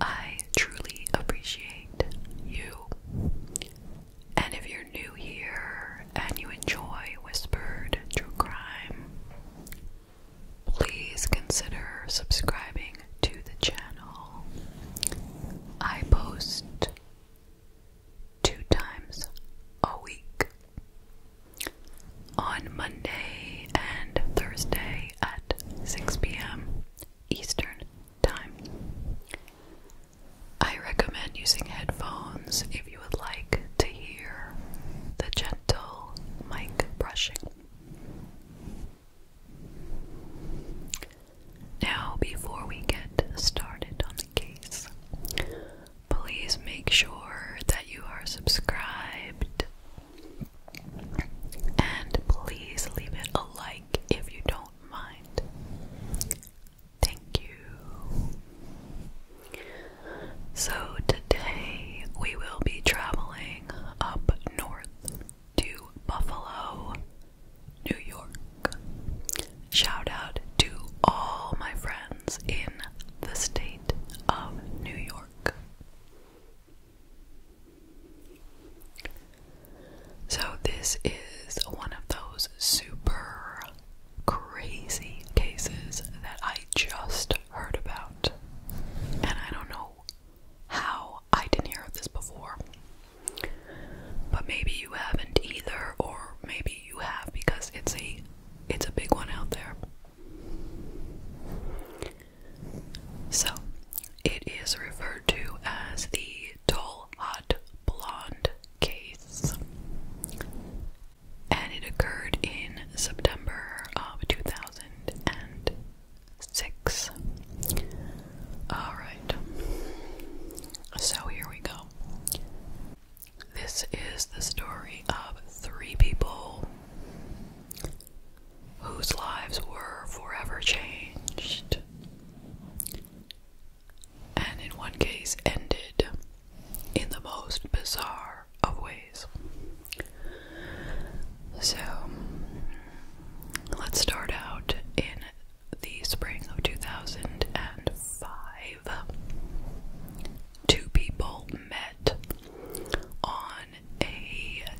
I truly appreciate you. And if you're new here and you enjoy Whispered True Crime, please consider subscribing to the channel. I post two times a week on Monday and Thursday at 6 p.m. Eastern Time. I recommend using headphones if you would like to hear the gentle mic brushing. Now, before we get started on the case, please make sure that you are subscribed and please leave it a like if you don't mind. Thank you. So, today we will be traveling up north to Buffalo, New York. Shout out to all my friends in the state of New York. So, this is one of those super crazy cases that I just heard about. And I don't know how I didn't hear of this before. But maybe you haven't either, or maybe you have because it's a it's a big one out there. So, it is referred to as the tall, hot, blonde case, and it occurred in September of 2006. Alright, so here we go. This is the story of three people whose lives were forever changed, and in one case ended in the most bizarre of ways. So, let's start out in the spring of 2005. Two people met on a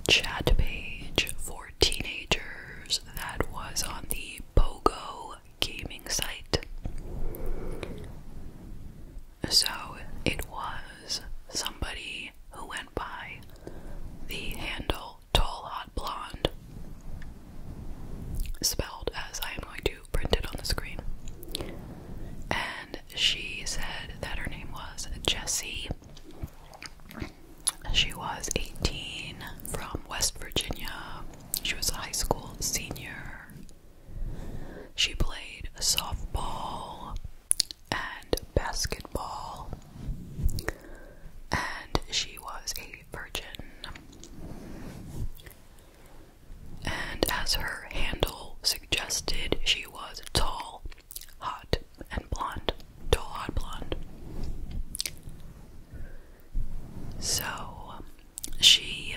chat page for teenagers that was on the Pogo gaming site. So it was somebody who went by the handle Tall Hot Blonde, spelled as I am going to print it on the screen. And she said that her name was Jessie, she was 18 from West Virginia. She was a high school senior. She played softball and basketball, and she was a virgin. And as her handle suggested, she was tall hot and blonde, tall, hot blonde. So she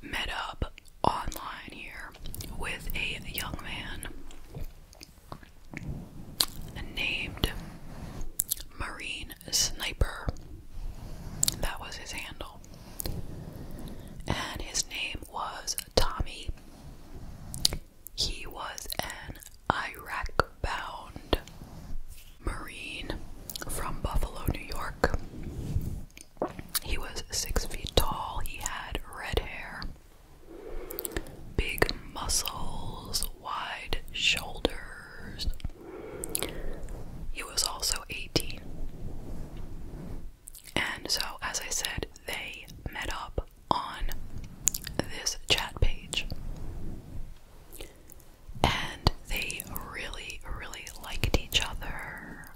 met up online here with a young man named Marine Sniper. That was his handle. And his name was Tommy. He was an Iraq bound Marine from Buffalo, New York. He was six feet tall, he had red hair, big muscles, wide shoulders. He was also 18. And so, as I said, they met up on this chat page. And they really, really liked each other.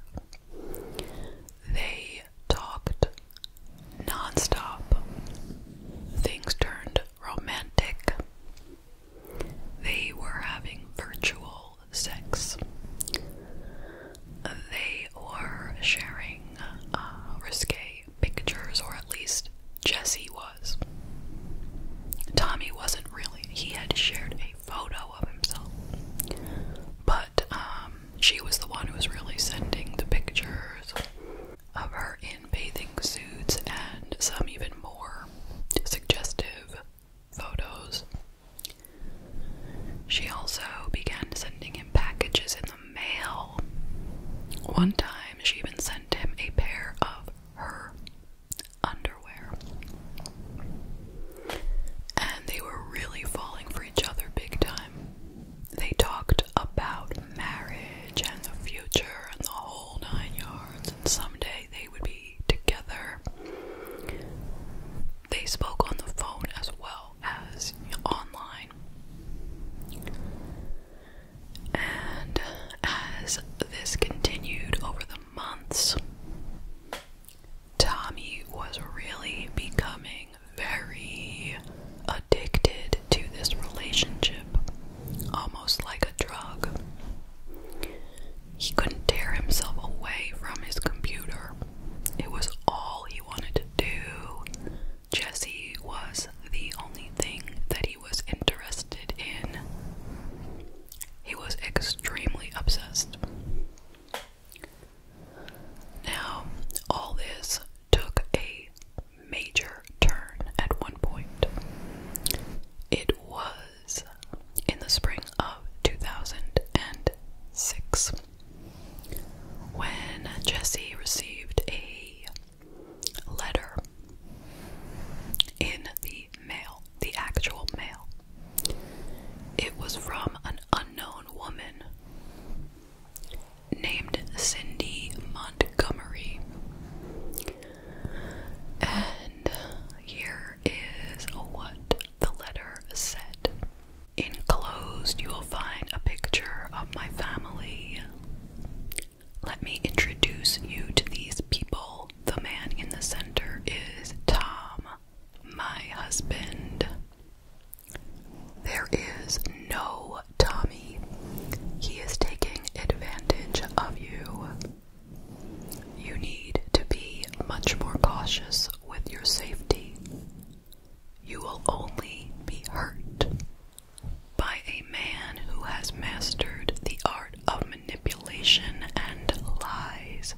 They talked nonstop. Things turned romantic. They were having virtual sex. They were sharing uh, risque pictures, or at least Jesse was. Tommy wasn't really. He had shared a photo of himself. But um, she was the one who was really sending the pictures of her in bathing suits and some even more suggestive photos. She also began sending him packages in the mail. One time, she even sent him a pair of her underwear. And they were really falling for each other big time. They talked about marriage and the future and the whole nine yards, and someday they would be together. They spoke on the phone as well as online. And as this continued over the months, Tommy was really becoming very addicted to this relationship, almost like a drug. He couldn't tear himself away from his computer. It was all he wanted to do. Jesse was the only thing that he was interested in. He was extremely obsessed. Now, all this took a major turn at one point. It was in the spring of 2006 when Jesse received a letter in the mail, the actual mail. It was from an unknown woman named Cindy Montgomery. And here is what the letter said. Enclosed, you will find a picture of my family. Let me introduce you to these people. The man in the center is Tom, my husband. There is no Tommy. He is taking advantage of you. You need to be much more cautious with your safety you will only be hurt by a man who has mastered the art of manipulation and lies.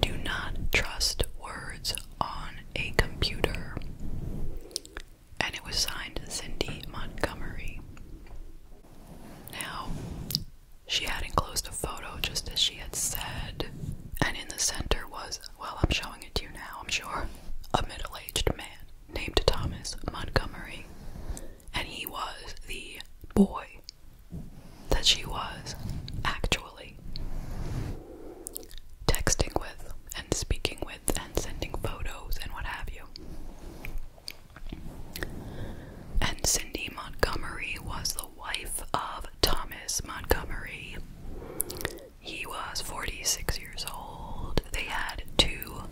Do not trust words on a computer. And it was signed Cindy Montgomery. Now, she had enclosed a photo just as she had said, and in the center was well, I'm showing it to you now, I'm sure. A middle aged man named Thomas Montgomery. And he was the boy that she was actually texting with and speaking with and sending photos and what have you. And Cindy Montgomery was the wife of Thomas Montgomery. He was 46 years old. They had two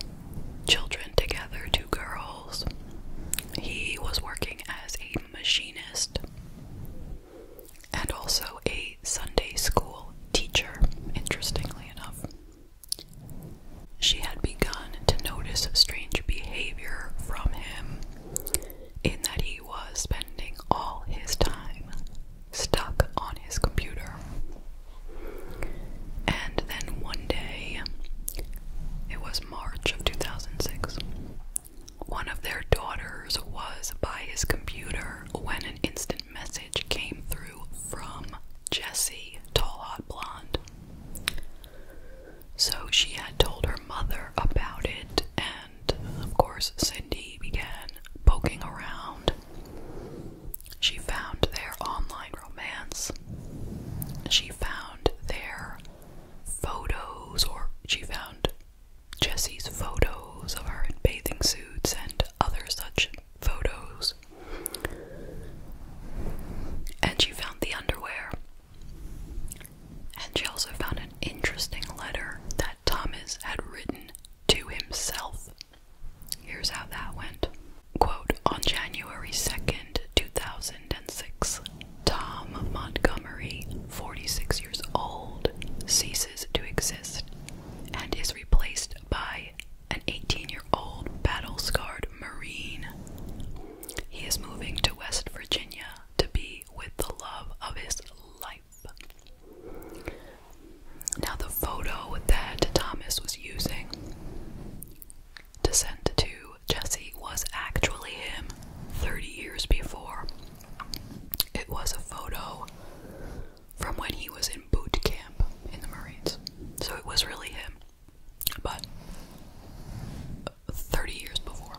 children together, two girls. He was working as a machinist and also a Sunday school teacher, interestingly enough. She had begun to notice strange behavior from him in that he was spending all his time stuck on his computer. And then one day, it was March of 2006, one of their daughters was by his computer when an instant message came through from Jessie, tall, hot blonde. So she had told her mother about it, of course, Cindy began poking around. She found their online romance. She found their photos, or she found Jesse's photos of her in bathing suits and other such photos. And she found the underwear. And she also found an interesting letter that Thomas had written to himself. Here's how that went. Quote, on January 2nd, 2006, Tom Montgomery, 46 years old, ceases to exist and is replaced by an 18 year old battle scarred Marine. He is moving to West Virginia to be with the love of his life. Now, the photo that Thomas was using to send to Jesse was actually him 30 years before. It was a photo from when he was in boot camp in the Marines. So it was really him, but 30 years before.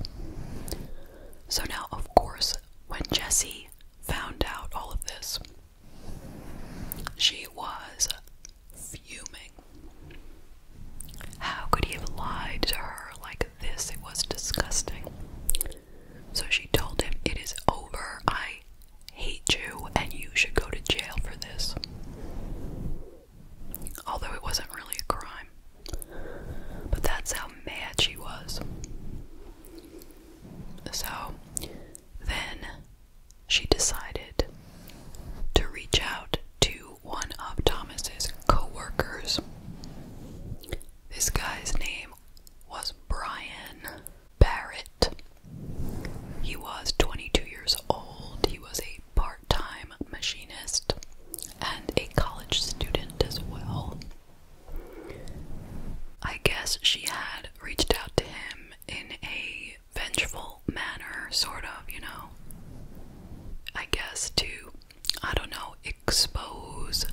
So now, of course, when Jessie found out all of this, she was fuming. How could he have lied to her like this? It was disgusting. So she told him, It is over. I hate you, and you should go to jail for this. Although it wasn't really a crime. But that's how mad she was. So then she decided to reach out to one of Thomas's coworkers. This guy's name was Brian Barrett. He was 22 years old. He was a part-time machinist and a college student as well. I guess she had reached out to him in a vengeful manner, sort of, you know. I guess to, I don't know, expose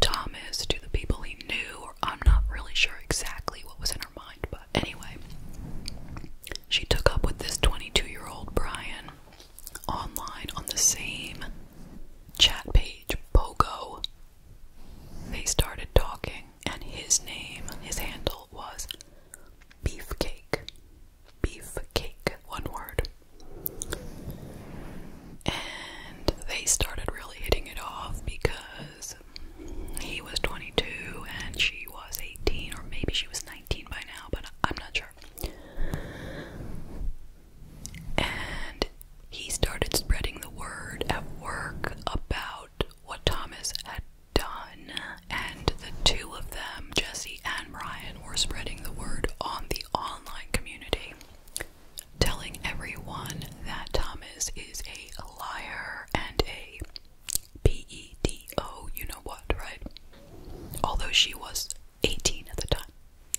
Thomas to the people he knew, or I'm not really sure exactly what was in her mind, but anyway, she took up with this 22 year old Brian online on the same chat page, Bogo. They started talking, and his name, his handle was Beefcake. Beefcake, one word. And they started really hitting it off because he was 22 and she was 18, or maybe she was 19 by now, but I'm not sure. And he started spreading the word at work about what Thomas had done, and the two of them, Jesse and Brian, were spreading the word on the online community, telling everyone that Thomas is a liar and a P E D O, you know what, right? Although she was 18 at the time.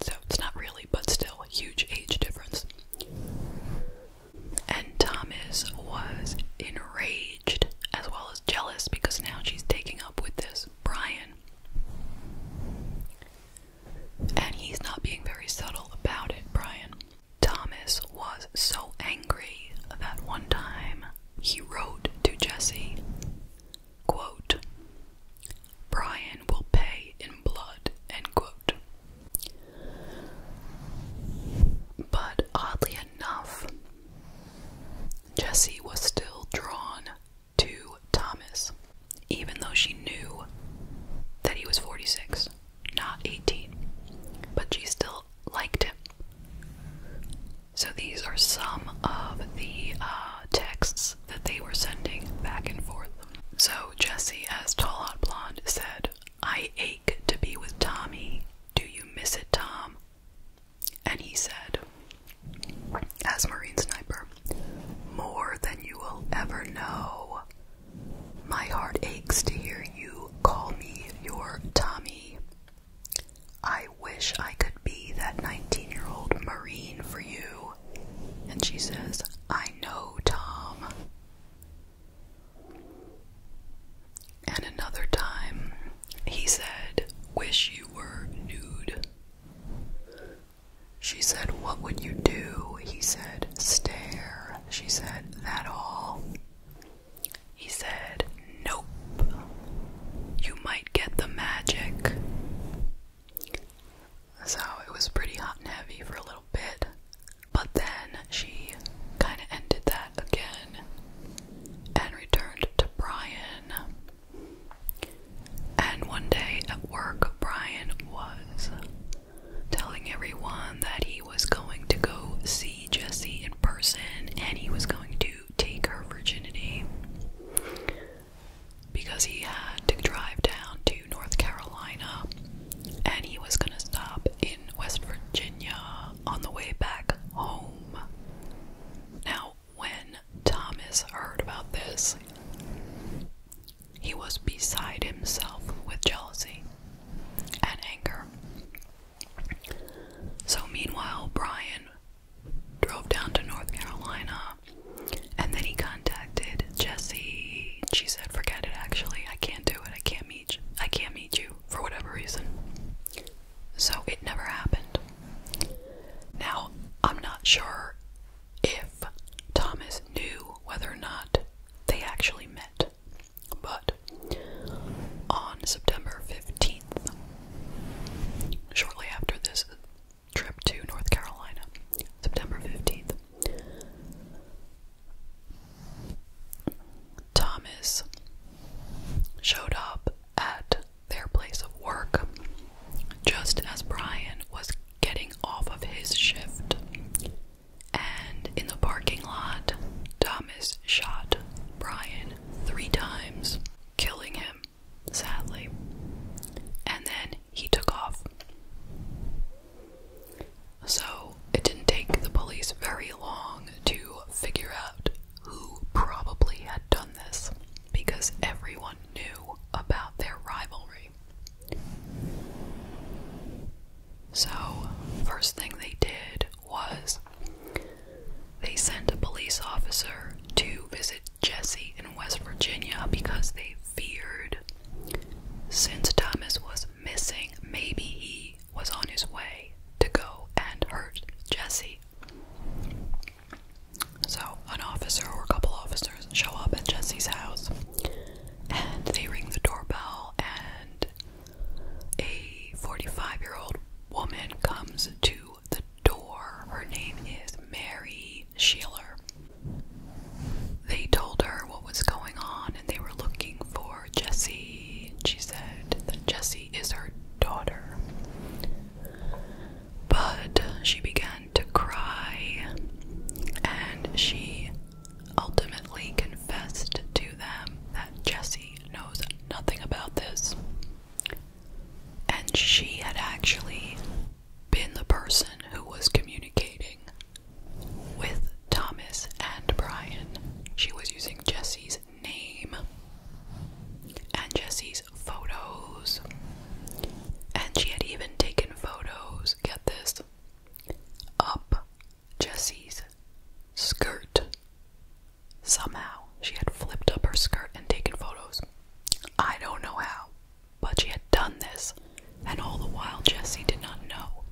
So it's not really, but still a huge age difference. And Thomas was enraged as well as jealous because now she's taking up with this Brian. And he's not being very subtle about it, Brian. Thomas was so angry that one time he wrote to Jesse, quote, Brian will pay in blood, end quote. But oddly enough, Jessie was still drawn to Thomas, even though she knew that he was 46, not 18. But she still liked him. So these are some of the uh, texts that they were sending back and forth. So Jesse, as Tall Hot Blonde, said, I ache to be with Tommy. Do you miss it, Tom? And he said, as Marine Sniper, more than you will ever know. My heart aches to hear you call me your Tommy. I wish I could be that 19 year old Marine for you. And she says, I know, Tom. And another time, he said, Wish you were nude. She said, What would you do? He said, Stare. She said, That all. He said, Nope. You might get the magic. So it was pretty hot and heavy for a little bit. But then she kind of ended that again and returned to Brian. And one day at work, Brian was telling everyone that he was going to go see Jesse in person and he was going to take her virginity because he had to drive down to North Carolina and he was gonna stop in West Virginia on the way back home. Now, when Thomas heard about this, he was beside himself with jealousy and anger. So, meanwhile, Brian drove down to North Carolina and then he contacted Jesse. She said, "Forget it. Actually, I can't do it. I can't meet. You. I can't meet you for whatever reason." So it never happened. Now I'm not sure if Thomas knew whether or not they actually met, but on September fifteenth, shortly after this trip to North Carolina, September 15th, Thomas showed up at their place of work just as Brian was getting off of his shift. And in the parking lot, Thomas shot Brian three times, killing him, sadly. And then he took off. So it didn't take the police very long to figure out who probably had done this because everyone knew about their rivalry. So, first thing they did was they sent a police officer to visit Jesse in West Virginia because they feared. Since Thomas was missing, maybe he was on his way to go and hurt Jesse. So, an officer or a couple officers show up at Jesse's house and they ring the doorbell, and a 45 year old woman comes to the door. Her name is Mary Sheila. They told her what was going on and they were looking for Jesse. She said that Jesse is her daughter. But she began to cry and she ultimately confessed to them that Jesse knows nothing about this. And she had actually been the person who was communicating with Thomas and Brian. She was using Jesse's name and Jesse's photos. And she had even taken photos, get this, up Jesse's skirt. Somehow she had flipped up her skirt and taken photos. I don't know how. But she had done this, and all the while Jesse did not know.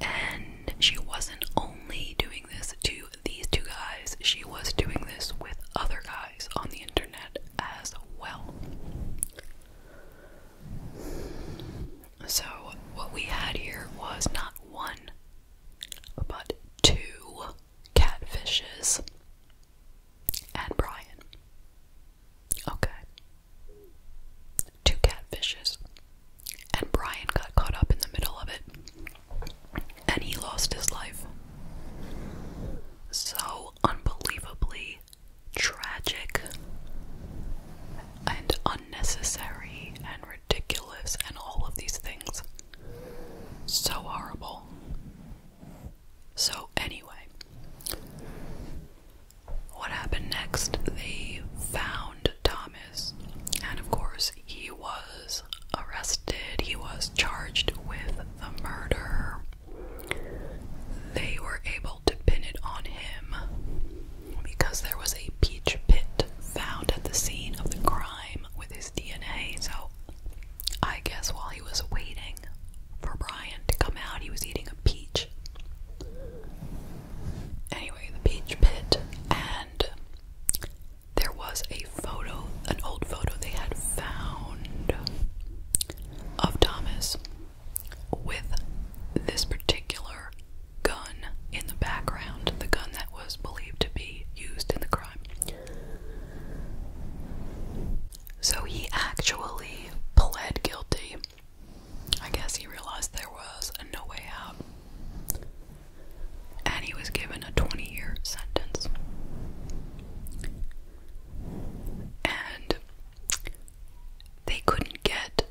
And she wasn't only doing this to these two guys, she was doing this with other guys on the internet as well. So, what we had here was not one, but two catfishes and Brian. Okay. Two catfishes. And Brian got caught up in the middle of it. And he lost his life. So unbelievably tragic and unnecessary and ridiculous and all of these things. So horrible. So, anyway, what happened next? They found Thomas, and of course, he was arrested. He was charged with the murder. They were able to pin it on him because there was a peach pit found at the scene of the crime with his DNA. So, I guess while he was waiting for Brian to come out, he was eating peach. Anyway, the peach pit, and there was a photo, an old photo they had found of Thomas with this particular gun in the background, the gun that was believed to be used in the crime. So he actually pled guilty. I guess he realized there was no way out. And he was given a 20 year sentence. And they couldn't get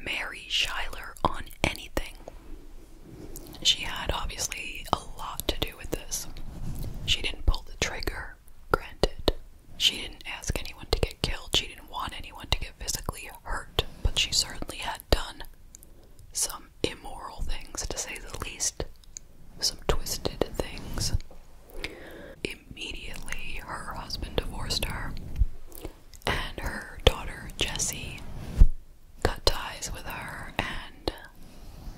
Mary Schuyler on anything. She had obviously a lot to do with this. She didn't pull the trigger, granted, she didn't ask anyone to get killed, she didn't want anyone to get physically hurt, but she certainly had done some immoral things, to say the least, some twisted things. Immediately, her husband divorced her, and her daughter, Jessie, cut ties with her and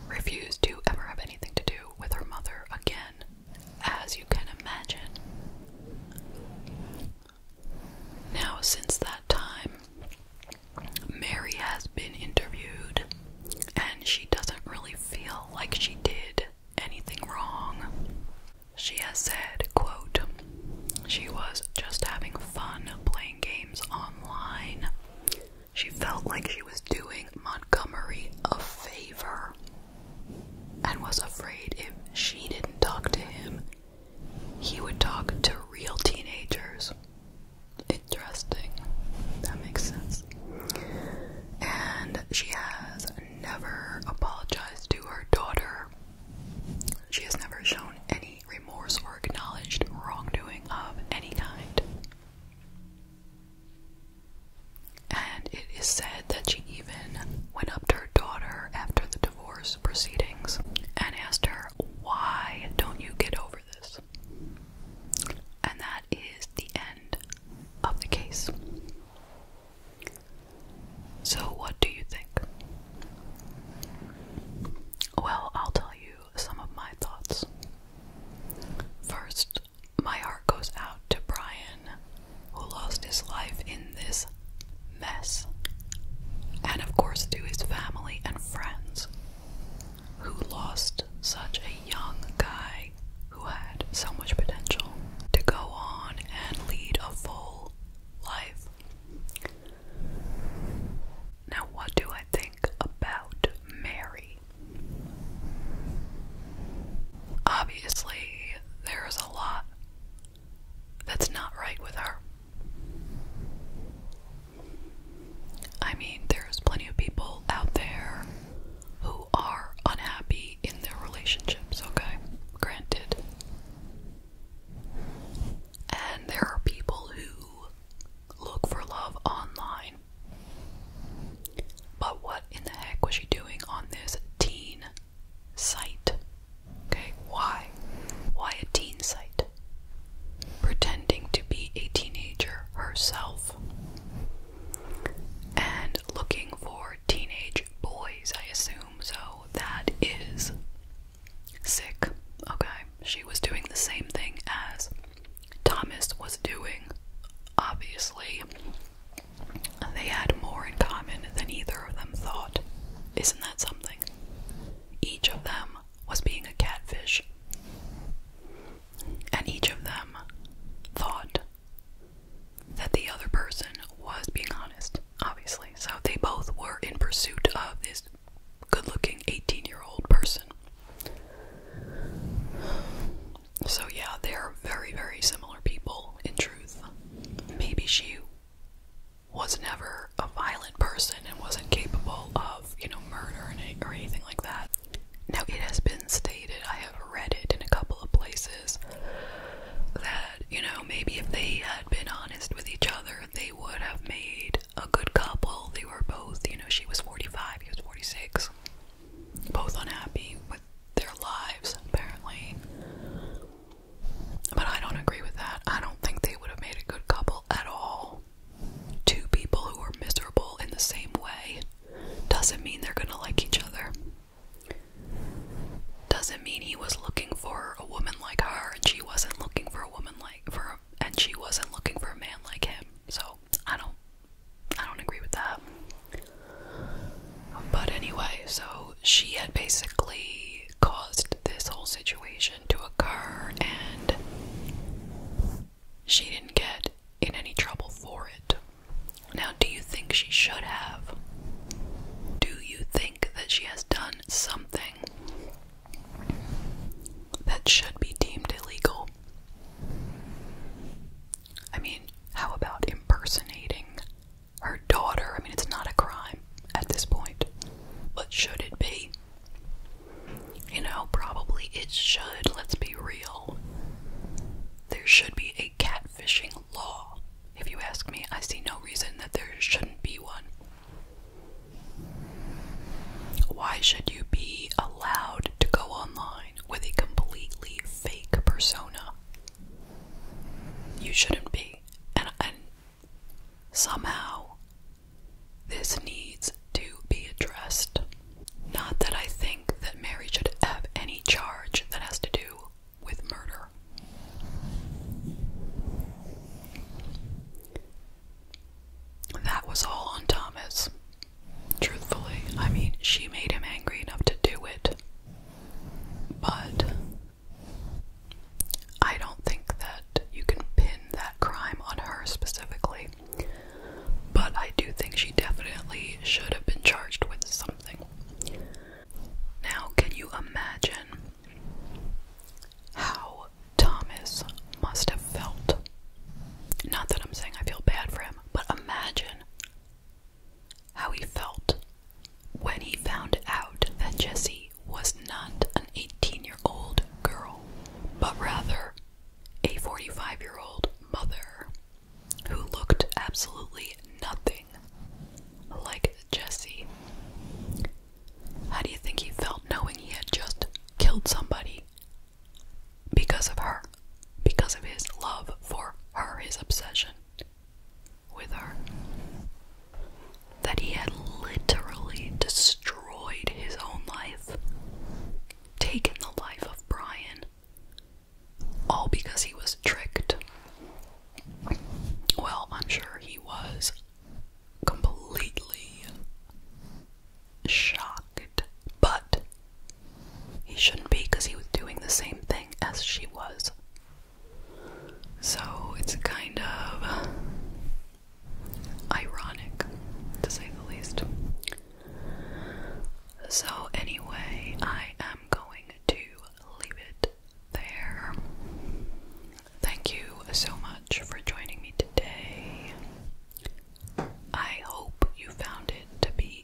refused to ever have anything to do with her mother again as you can imagine. Now, since that time, Mary has been interviewed, and she doesn't really feel like she did anything wrong. She has said, quote, she was just having fun playing games online. She felt like she was doing Montgomery a favor and was afraid if she didn't talk to him, he would talk to real teenagers. Interesting. That makes sense. And she has never apologized to her daughter. She has never shown any remorse or acknowledged wrongdoing of any kind. And it is said that she even went up to her daughter after the divorce proceedings and asked her, Why don't you get over this? And that is the end of the case. So, what do you think? Well, I'll tell you some of my thoughts. First, my heart goes out to Brian, who lost his life in this mess, and of course to his family and friends, who lost such a young guy who had so much potential to go on and lead a full life. Now, what do I think about Mary? Obviously, there is a lot that's not right with her. I mean, there's plenty of people out there who are unhappy in their relationships, okay? Granted. And there are people who look for love online but what in the heck was she doing on this teen site? Okay, why? Why a teen site? Pretending to be a teenager herself and looking for teenage boys, I assume. So that is sick. Okay, she was doing the same thing as Thomas was doing, obviously. They had more in common than either of them thought. Isn't that something? Each of them was being a catfish. And each of them thought that the other person was being honest, obviously. So they both were in pursuit of this good looking 18 year old person. So, yeah, they are very, very similar people in truth. Maybe she was never a violent person and wasn't capable of, you know, murder or anything like that. Now, it has been stated, I have read it in a couple of places, that, you know, maybe if they had been honest with each other, they would have made a good couple. They were both, you know, she was 45, he was 46 both unhappy with their lives, apparently. But I don't agree with that. I don't think they would have made a good couple at all. Two people who are miserable in the same way doesn't mean they're gonna like each other. Doesn't mean he was looking for a woman like her and she wasn't looking for a woman like for and she wasn't looking for a man like him. So I don't I don't agree with that. But anyway, so she had basically caused this whole situation to occur and she didn't get in any trouble for it. Now, do you think she should have? Do you think that she has done something that should be deemed illegal? I mean, how about impersonating her daughter? I mean, it's not a crime at this point. But should it be? You know, probably it should. Let's be real. There should be a catfishing law. If you ask me, I see no reason that there shouldn't be one. Why should you be allowed to go online with a completely fake persona. You shouldn't be. and somehow this needs to be addressed. Not that I think that Mary should have any charge that has to do with murder. That was all on Thomas. Truthfully, I mean, she made him angry enough to do it. But I don't think that you can pin that crime on her specifically. But I do think she definitely should have been charged with something. Now, can you imagine how Thomas must have felt? Not that I'm saying I feel bad for him, but imagine how he felt when he found out that Jessie was not an 18 year old girl, but rather a 45 year old mother who looked absolutely nothing like Jessie. How do you think he felt knowing he had just killed somebody because of her? because of his love for her, his obsession with her. That he had literally destroyed his own life, taken the life of Brian, all because he was tricked. Well, I'm sure he was completely shocked, but he shouldn't be because he was doing the same thing as she was. So it's kind of ironic, to say the least. So, anyway, I am going to leave it there. Thank you so much for joining me today. I hope you found it to be